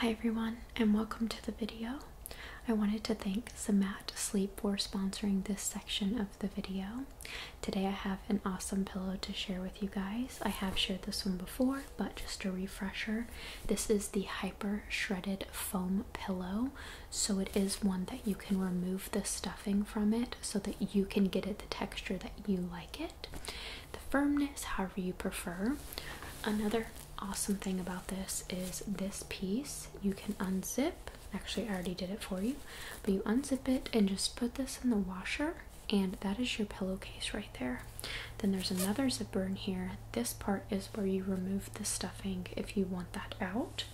Hi everyone and welcome to the video. I wanted to thank Samat Sleep for sponsoring this section of the video. Today I have an awesome pillow to share with you guys. I have shared this one before but just a refresher. This is the Hyper Shredded Foam Pillow so it is one that you can remove the stuffing from it so that you can get it the texture that you like it the firmness, however you prefer. Another awesome thing about this is this piece you can unzip. Actually, I already did it for you, but you unzip it and just put this in the washer, and that is your pillowcase right there. Then there's another zipper in here. This part is where you remove the stuffing if you want that out.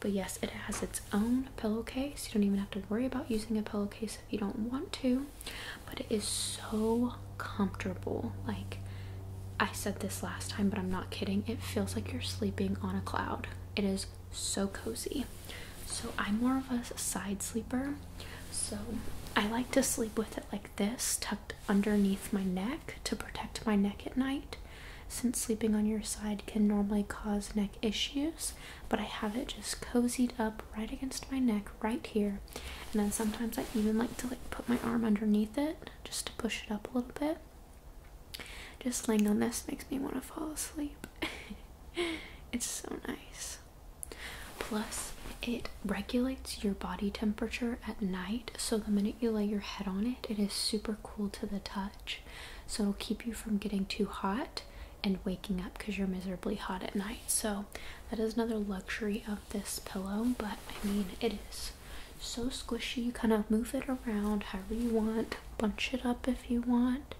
But yes, it has its own pillowcase. You don't even have to worry about using a pillowcase if you don't want to but it is so comfortable. Like I said this last time, but I'm not kidding. It feels like you're sleeping on a cloud. It is so cozy. So I'm more of a side sleeper. So I like to sleep with it like this, tucked underneath my neck to protect my neck at night. Since sleeping on your side can normally cause neck issues, but I have it just cozied up right against my neck right here and then sometimes I even like to like put my arm underneath it just to push it up a little bit just laying on this makes me want to fall asleep it's so nice plus it regulates your body temperature at night so the minute you lay your head on it it is super cool to the touch so it'll keep you from getting too hot and waking up because you're miserably hot at night so that is another luxury of this pillow but i mean it is so squishy you kind of move it around however you want bunch it up if you want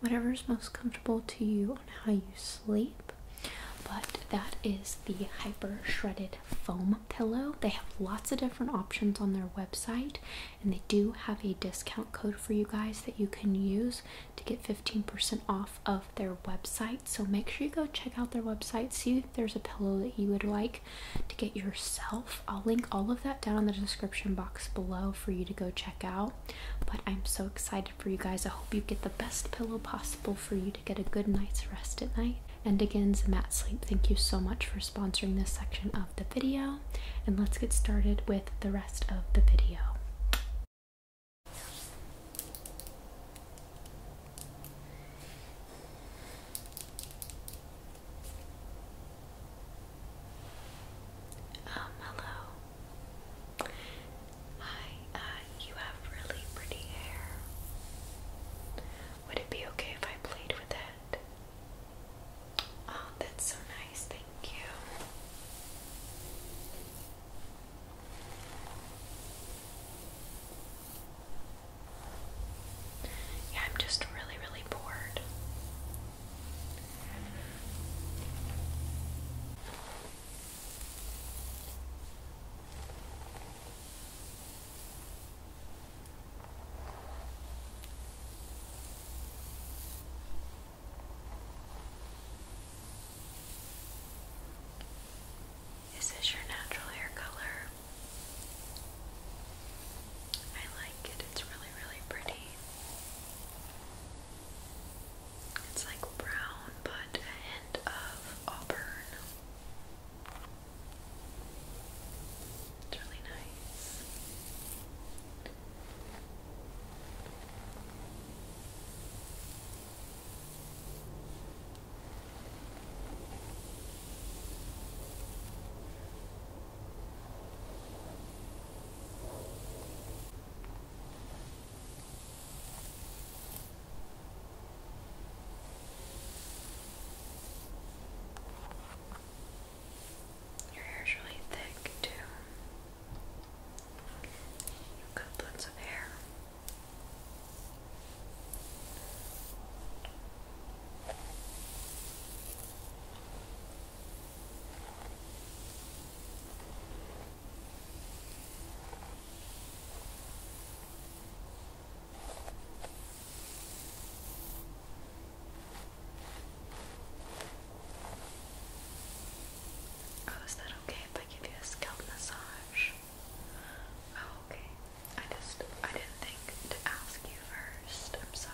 whatever is most comfortable to you on how you sleep but that is the hyper shredded foam pillow they have lots of different options on their website and they do have a discount code for you guys that you can use to get 15% off of their website. So make sure you go check out their website. See if there's a pillow that you would like to get yourself. I'll link all of that down in the description box below for you to go check out. But I'm so excited for you guys. I hope you get the best pillow possible for you to get a good night's rest at night. And again, Zamat Sleep, thank you so much for sponsoring this section of the video. And let's get started with the rest of the video. Um, hello. Hi, uh, you have really pretty hair. Would it be okay if I played with it? Oh, that's so nice, thank you. Yeah, I'm just really, really bored. Is this your natural hair color? I like it, it's really, really pretty. It's like brown, but a hint of auburn. It's really nice. Your hair's really thick, too. you got lots of hair. Oh, is that okay if I give you a scalp massage? Oh, okay. I just, I didn't think to ask you first. I'm sorry.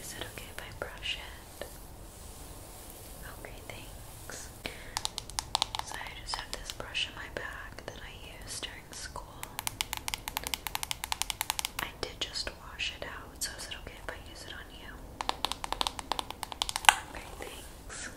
Is it okay if I brush it? Okay, thanks. So I just have this brush in my bag that I used during school. I did just wash it out, so is okay if I use it on you? Okay, thanks. Okay,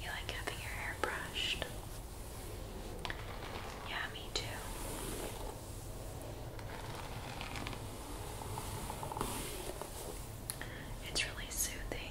You like having your hair brushed? Yeah, me too. It's really soothing.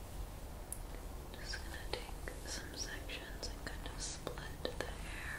Just gonna take some sections and kind of split the hair.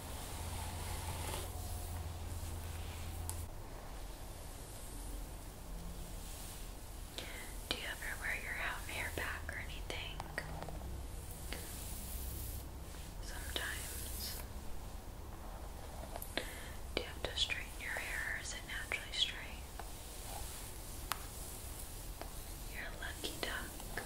Do you ever wear your hair back or anything? Sometimes. Do you have to straighten your hair is it naturally straight? You're a lucky duck.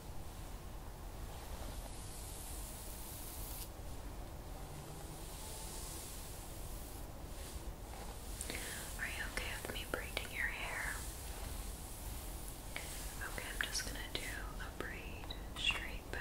Are you okay with me braiding your hair? Okay, I'm just gonna do a braid straight back.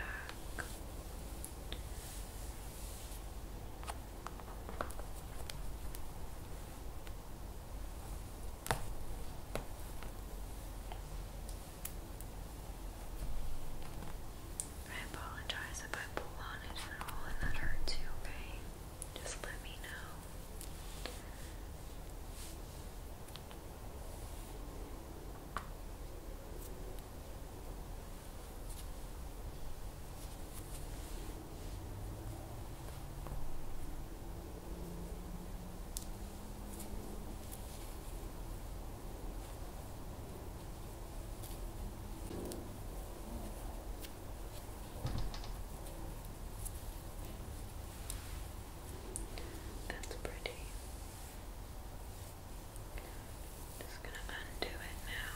I apologize if I pull on it at all and that hurts you, okay? Just let me know. That's pretty. just gonna undo it now.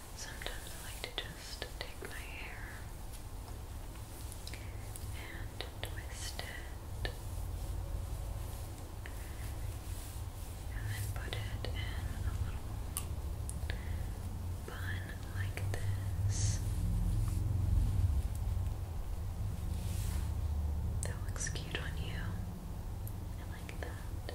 Sometimes I like to just take my hair and twist it and then put it in a little bun like this. That looks cute on you. I like that.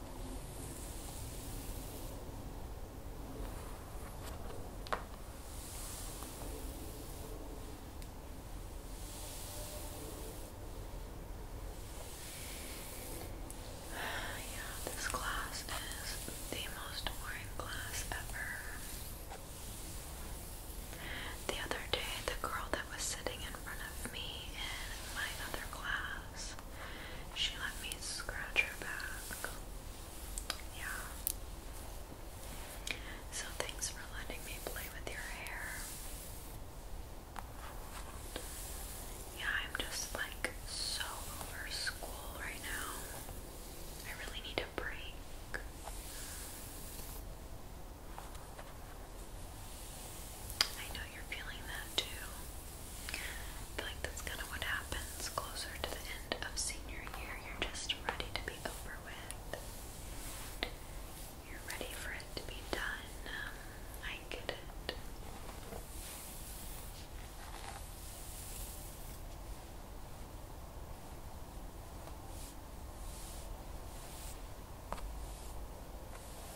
yeah, this class is the most boring class ever. The other day, the girl that was sitting in front of me in my other class she let me scratch her back. Yeah. So thanks for letting me play with your hair. Yeah, I'm just like so over school right now. I really need a break. I know you're feeling that too. feel like that's kind of what happens closer to the end of senior year. You're just ready to be over with. You're ready for it to be done. Um, I get it.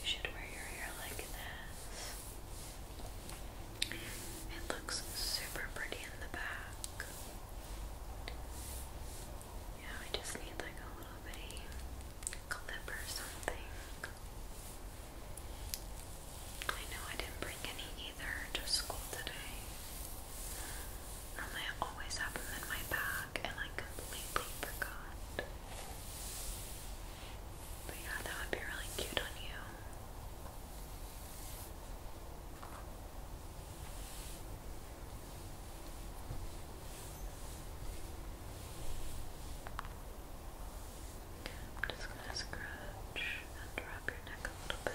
You should wear your hair like this. It looks super pretty in the back. Yeah, I just need like a little bitty clip or something. I know I didn't bring any either to school today. Normally I always have them in my bag and I completely forgot. But yeah, that would be really cute on you. I'm just going to scratch and wrap your neck a little bit.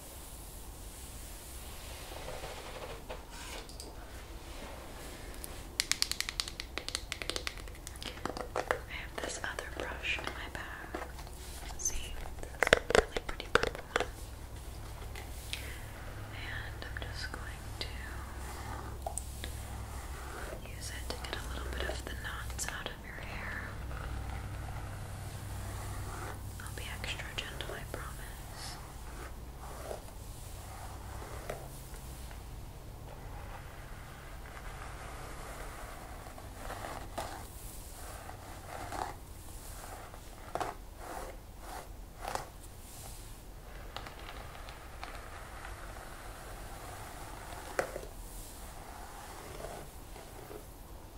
I have this other brush in my bag. see, this really pretty one. And I'm just going to use it to get a little bit of the knots out of your hair. I'll be extra gentle, I promise.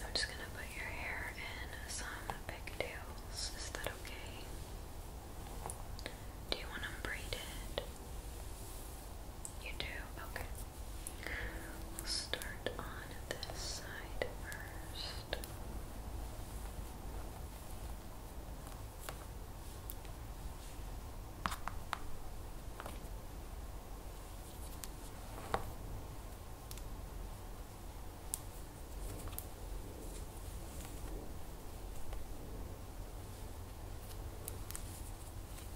I'm just going to put your hair in some pigtails. Is that okay? Do you want to braid it? You do? Okay. We'll start on this side first.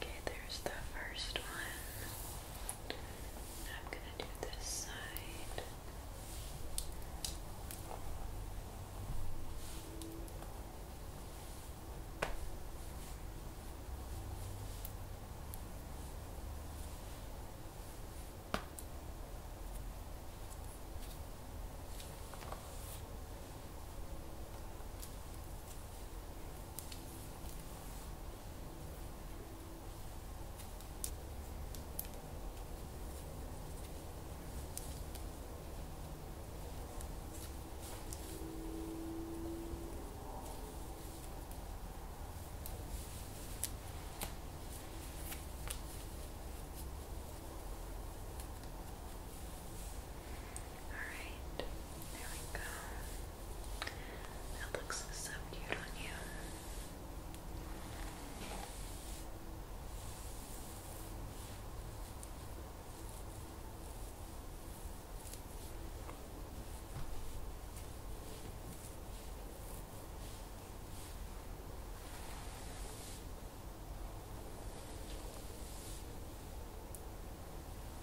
Okay, there's the first one. I'm gonna do this side. All right, there we go. That looks so cute on you.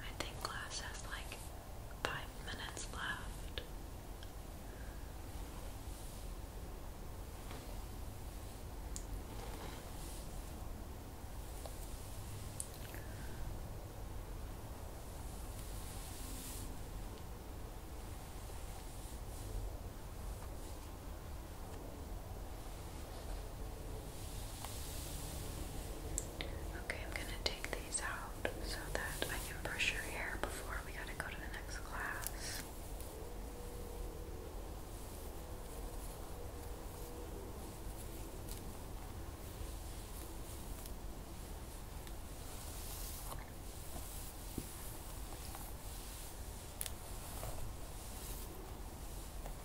I think class has like five minutes left. Okay, I'm gonna take these out so that I can brush your hair before we gotta go to the next class.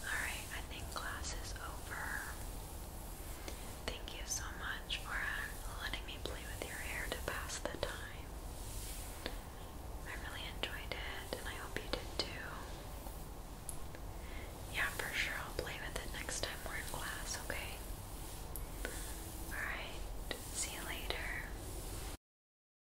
Alright, I think class is over. Thank you so much for uh, letting me play with your hair to pass the time. I really enjoyed it and I hope you did too. Yeah, for sure I'll play with it next time we're in class, okay? Alright, see you later.